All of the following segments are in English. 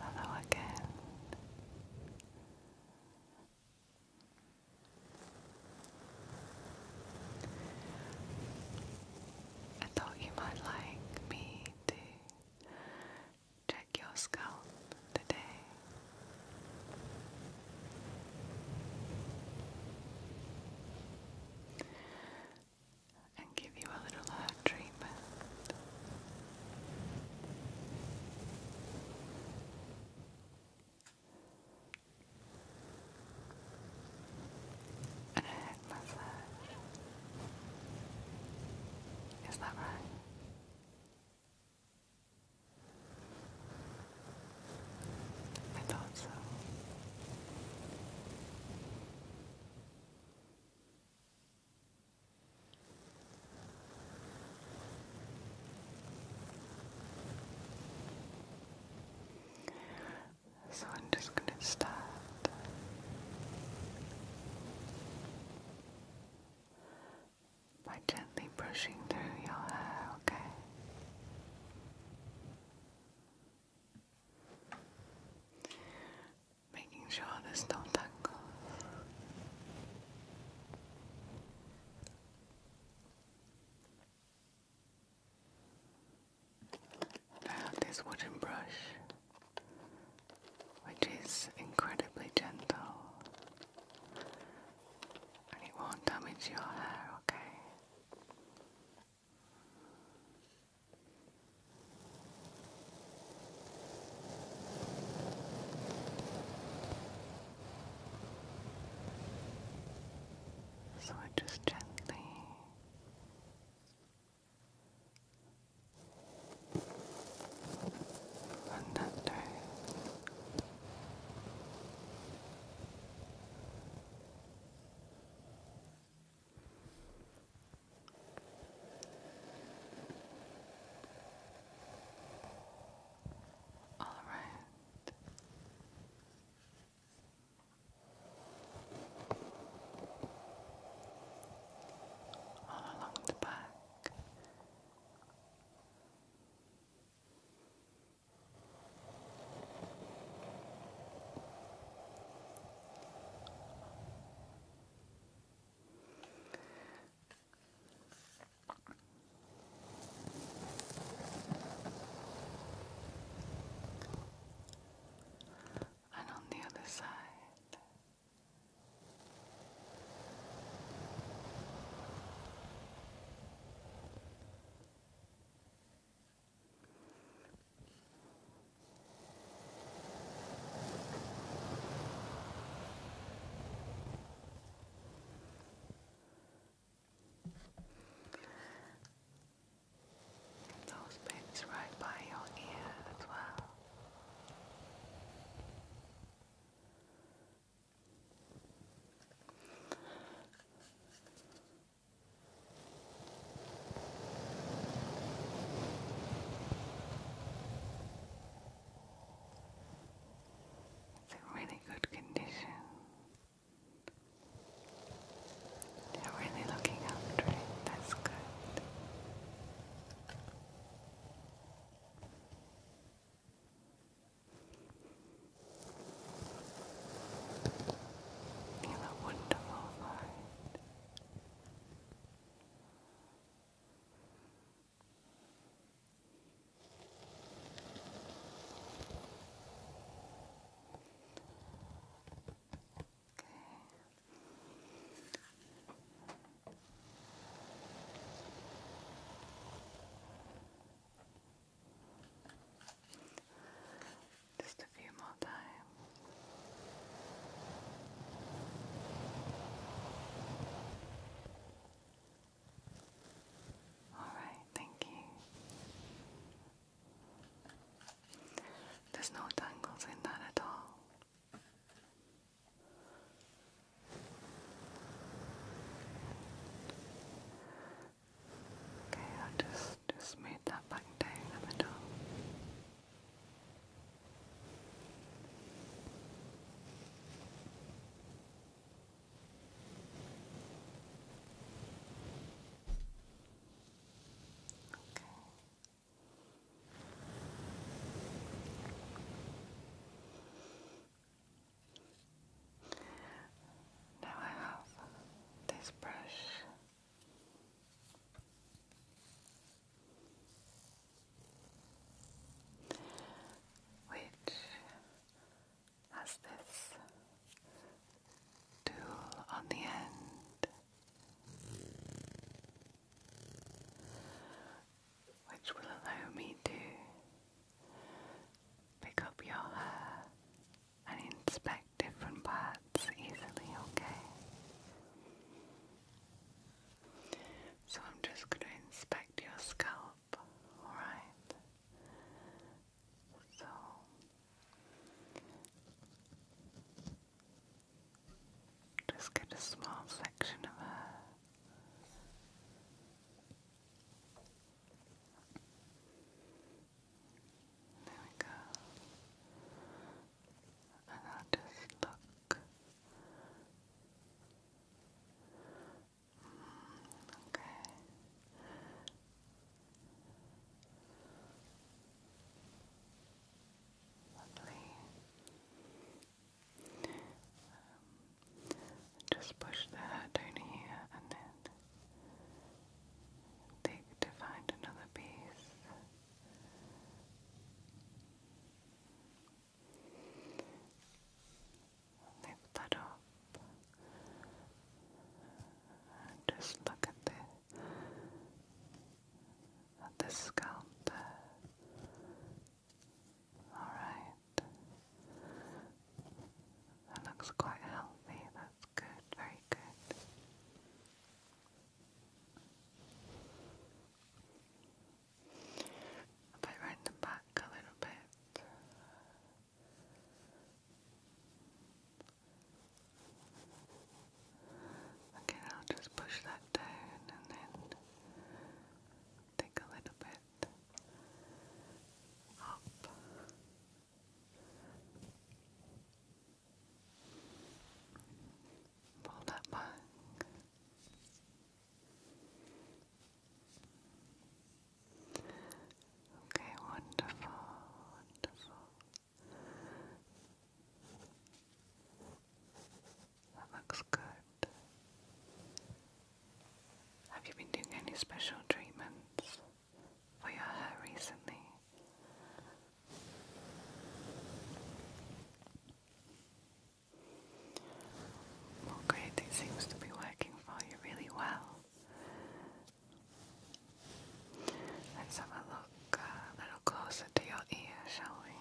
Hello again. I thought you might like me to check your scalp today. And give you a little hair treatment. And a Is that right? I thought so. So I'm just going to start by gently brushing through your hair, okay? Making sure there's no tangles. I have this wooden brush, which is incredibly gentle, and it won't damage your hair, okay? So I just gently and under all right all along the back. And on the other side. Those bits right by your ear as well. It's in really good condition. You're really looking after it. That's good. You look wonderful for just a few more times. All right, thank you. There's no tangles in that at all. Okay, I'll just just smooth that back down the middle. Okay. Now I have this brush. Which has this tool on the end, which will allow me to pick up your hair and inspect different parts easily, okay? So I'm just going to inspect your scalp alright? So just get a small section of her. There we go. And I'll just look Okay. Lovely. Um, just push the down here and then take to find another piece lift that up. And just look at the the scalp Alright. That looks quite healthy. That's good, very good. I'll put the back a little bit. Okay, I'll just push that down and then take a little bit up. Pull that back. Okay, wonderful, wonderful. That looks good. Have you been doing any special treatments for your hair recently? Well, great, it seems to be working for you really well. Let's have a look a little closer to your ear, shall we?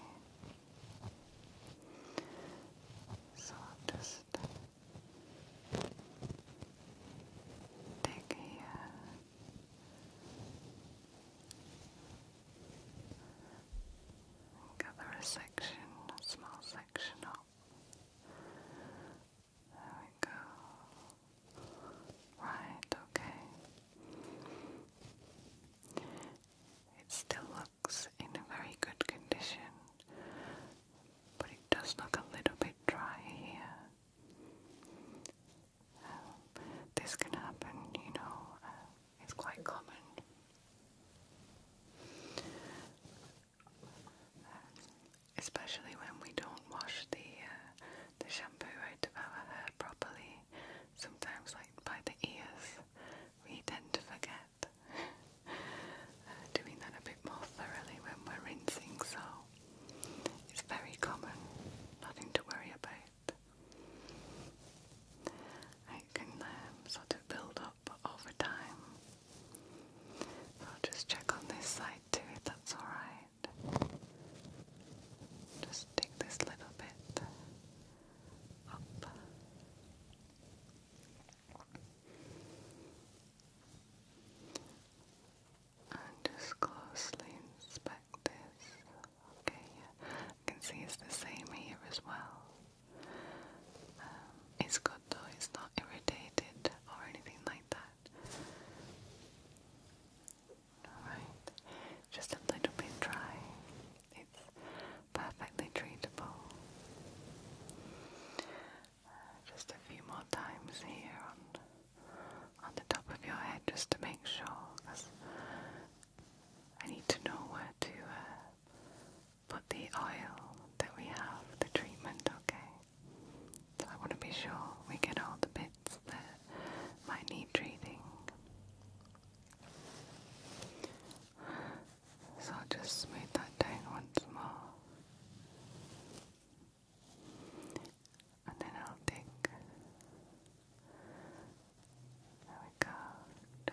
So just take here. Gather a section, a small section of there we go. Right, okay. It still looks in a very good condition, but it does look a little bit dry here. Um, this can happen, you know, uh, it's quite common especially when we don't wash the uh, the shampoo out of our hair properly. Sometimes, like by the ears, we tend to forget uh, doing that a bit more thoroughly when we're rinsing. So it's very common, nothing to worry about. I can um, sort of build up over time. I'll just check on this side too if that's alright. Just take this little bit up. And just closely inspect this. Okay, yeah. I can see it's the same here as well. Um, it's good though, it's not irritated or anything like that. Alright, just a little bit dry. It's perfectly treatable. Uh, just a few more times here on on the top of your head just to make sure because I need to know where to uh, put the oil that we have, the treatment, okay? So I want to be sure we get all the bits that might need treating. So I'll just smooth that down once more. And then I'll take. There we go.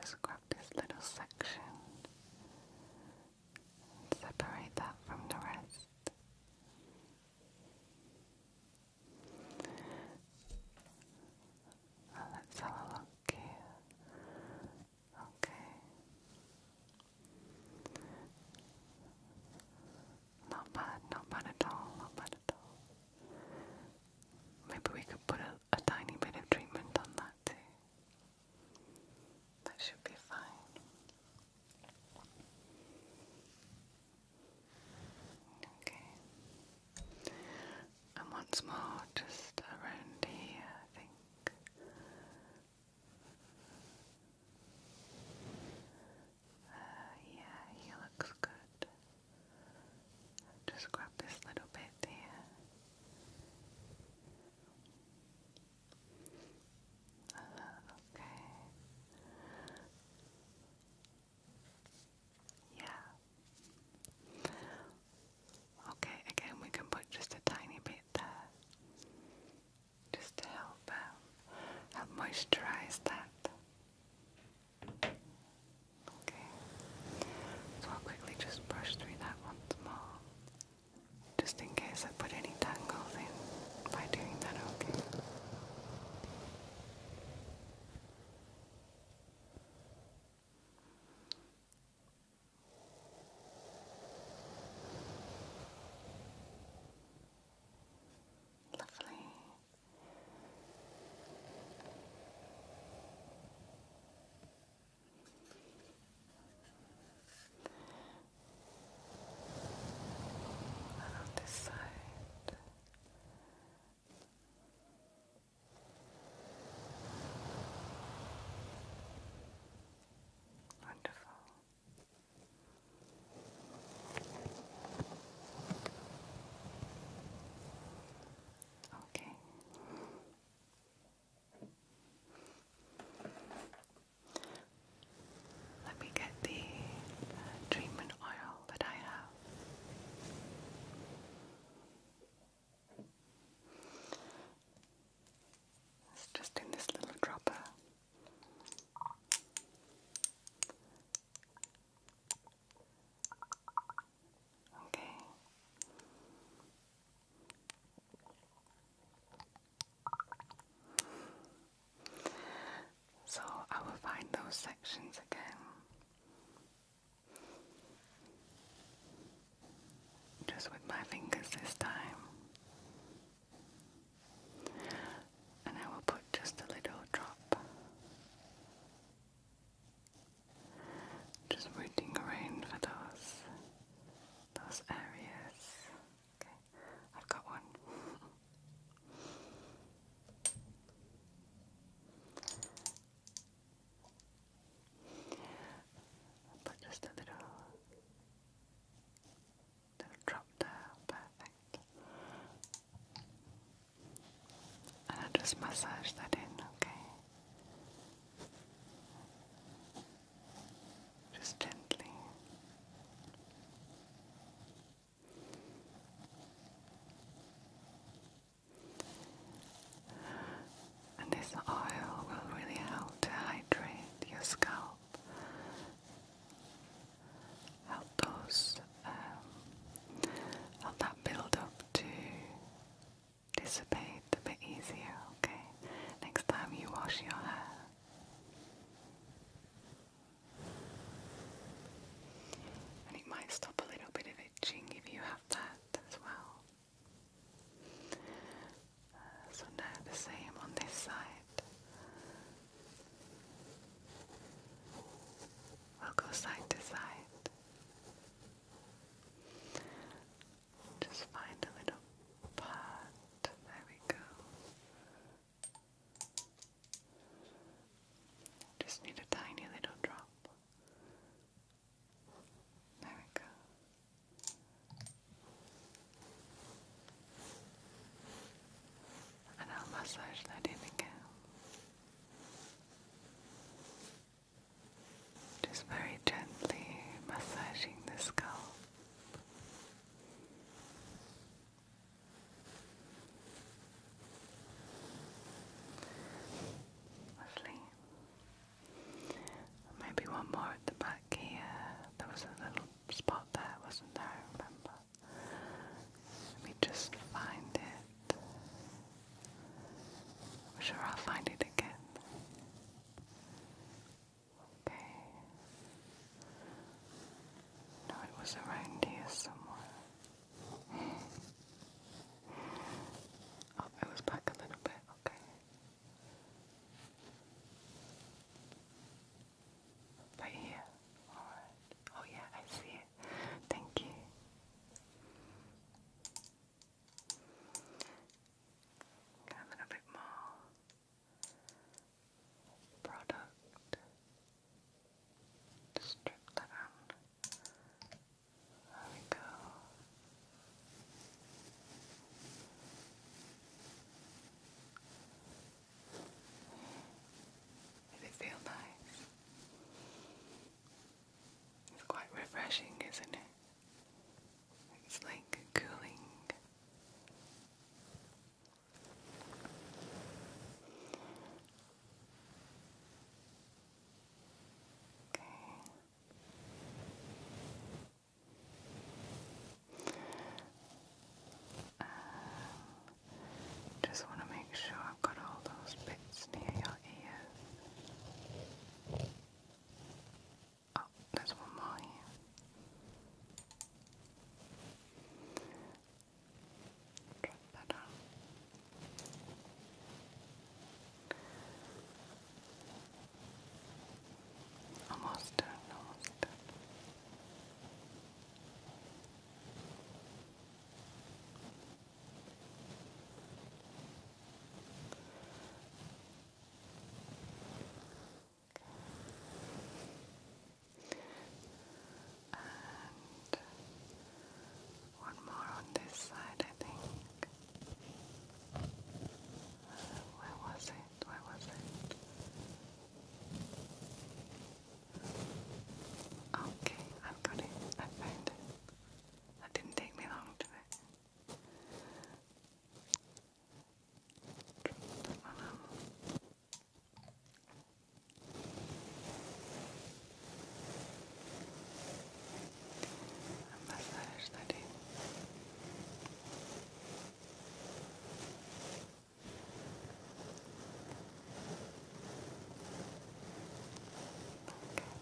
Just grab this little section Separate that from the rest. Oh, let's have a look here. Okay. Not bad, not bad at all, not bad at all. Maybe we could put a tiny bit of treatment on that too. That should be fine. Okay. And once more, just around here, I think. Uh, yeah, he looks good. Just grab this little bit here okay. Yeah. Okay, again, we can put just a tiny bit there just to help, um, help moisturize that. Okay, so I'll quickly just brush through that once more. Just in case I put any tangles in by doing that, okay? Lovely. And on this side. Wonderful. Okay. Let me get the uh, treatment oil that I have. It's just in this little dropper. Okay. So I will find those sections again. Just with my fingers this time. And I will put just a little drop just rooting around for those those areas. Okay, I've got one. but just a little little drop there, perfect. And I just massage that in, okay. Just gently. And this oil will really help to hydrate your scalp, help those, um, help that build up dissipate a bit easier, okay? Next time you wash your hair. And it might stop a little bit of itching if you have that as well. Uh, so now the same on this side. We'll go side to side. Just find a little pot. There we go. Just need a tiny little drop. There we go. And I'll massage that in again. Just very gently massaging the scalp. Lovely. Maybe one more at the back here. There was a little spot there, wasn't there? remember. Let me just find it. I'm sure I'll find it again. Okay. No, it was around here somewhere. oh, it was back a little bit, okay. Right here. Alright. Oh yeah, I see it. Thank you. Having a bit more product to strip that out. There we go. Does it feel nice? It's quite refreshing, isn't it? It's like cooling. Okay. Um, just want to make sure I've got all those bits near your ear. Oh, there's one more here. Drop that on. Almost done, almost done. And one more on this side, I think. Uh, where was it? Where was it? Okay, I've got it. I found it. That didn't take me long, did it? massage that Okay.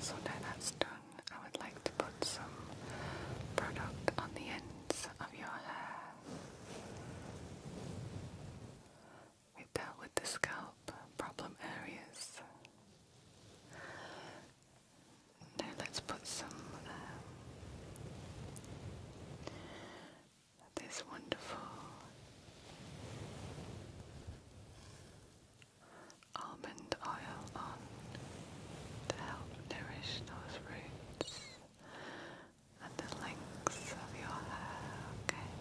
So now that's done, I would like to put some product on the ends of your hair. We dealt with the scalp problem areas. Now let's put some um, this wonderful almond oil on to help nourish those roots and the lengths of your hair, okay?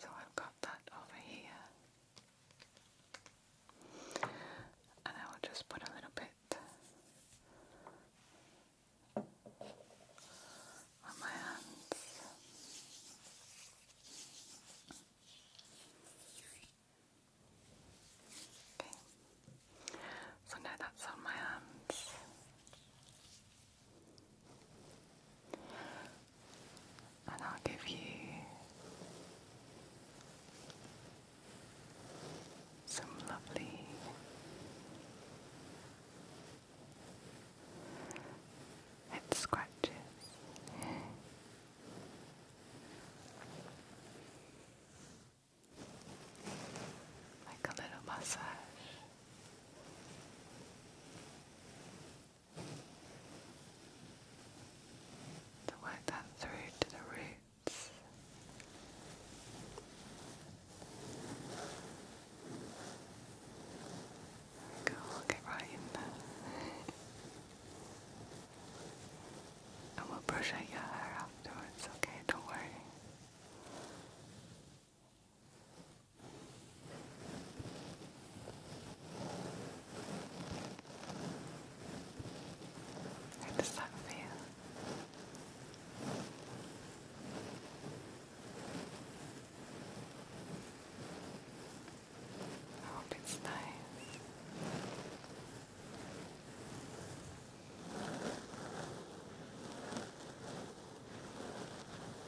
So I've got that over here. And I will just put a little bit on my hands. Okay. So now that's on my hands and I'll give you some lovely head scratches. like a little massage to work that through to the roots. Go, I'll get right in and we'll brush out your hair afterwards, okay? Don't worry. How does that feel? I hope it's nice.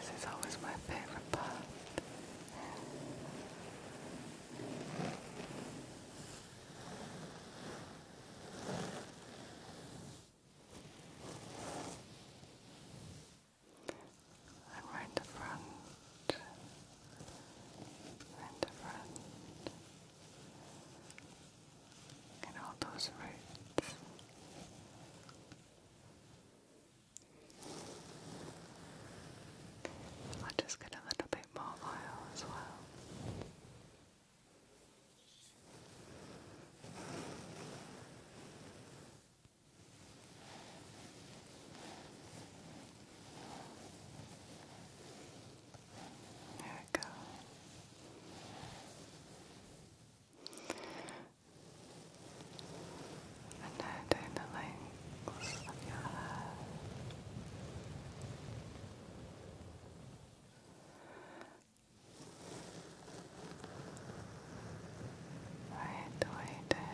This is always my favorite part. And right the front, right the front, and all those roots. I'll just get a little bit more oil as well. There we go and now down the length of your hair. Right the way down.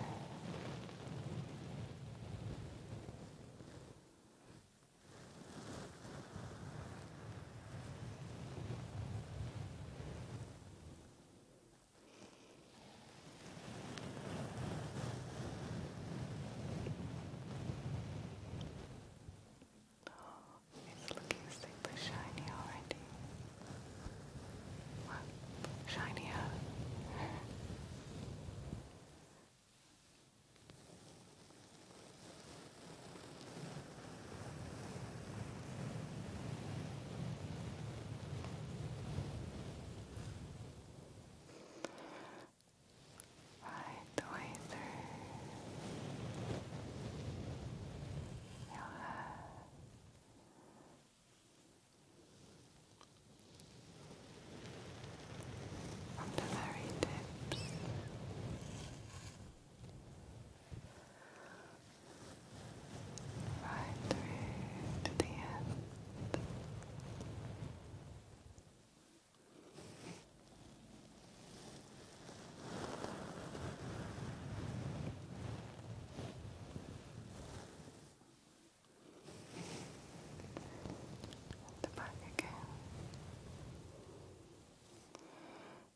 Oh, it's looking super shiny already. Wow, shiny huh? Right the way through your hair. From the very tips right through to the end. The back again.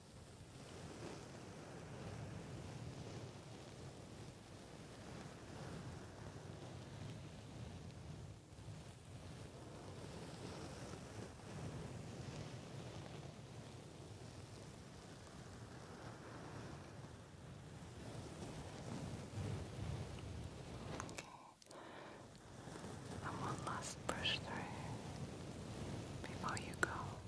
Okay. And one last push through before you go.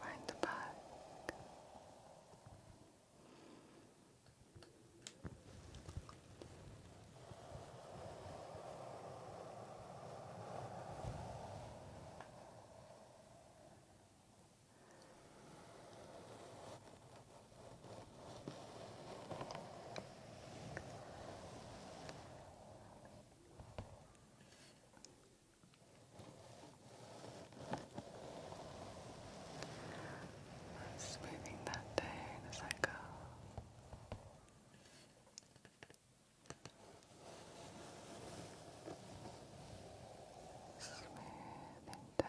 Right the back. Smoothing that day, as I go. Smooth and down.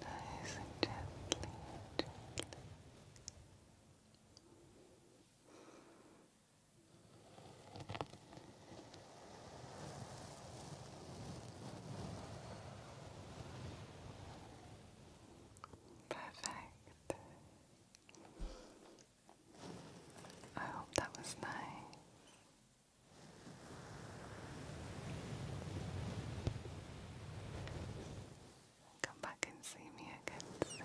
Nice and gently, gently. Good. Perfect. I hope that was nice. Come back and see me again soon.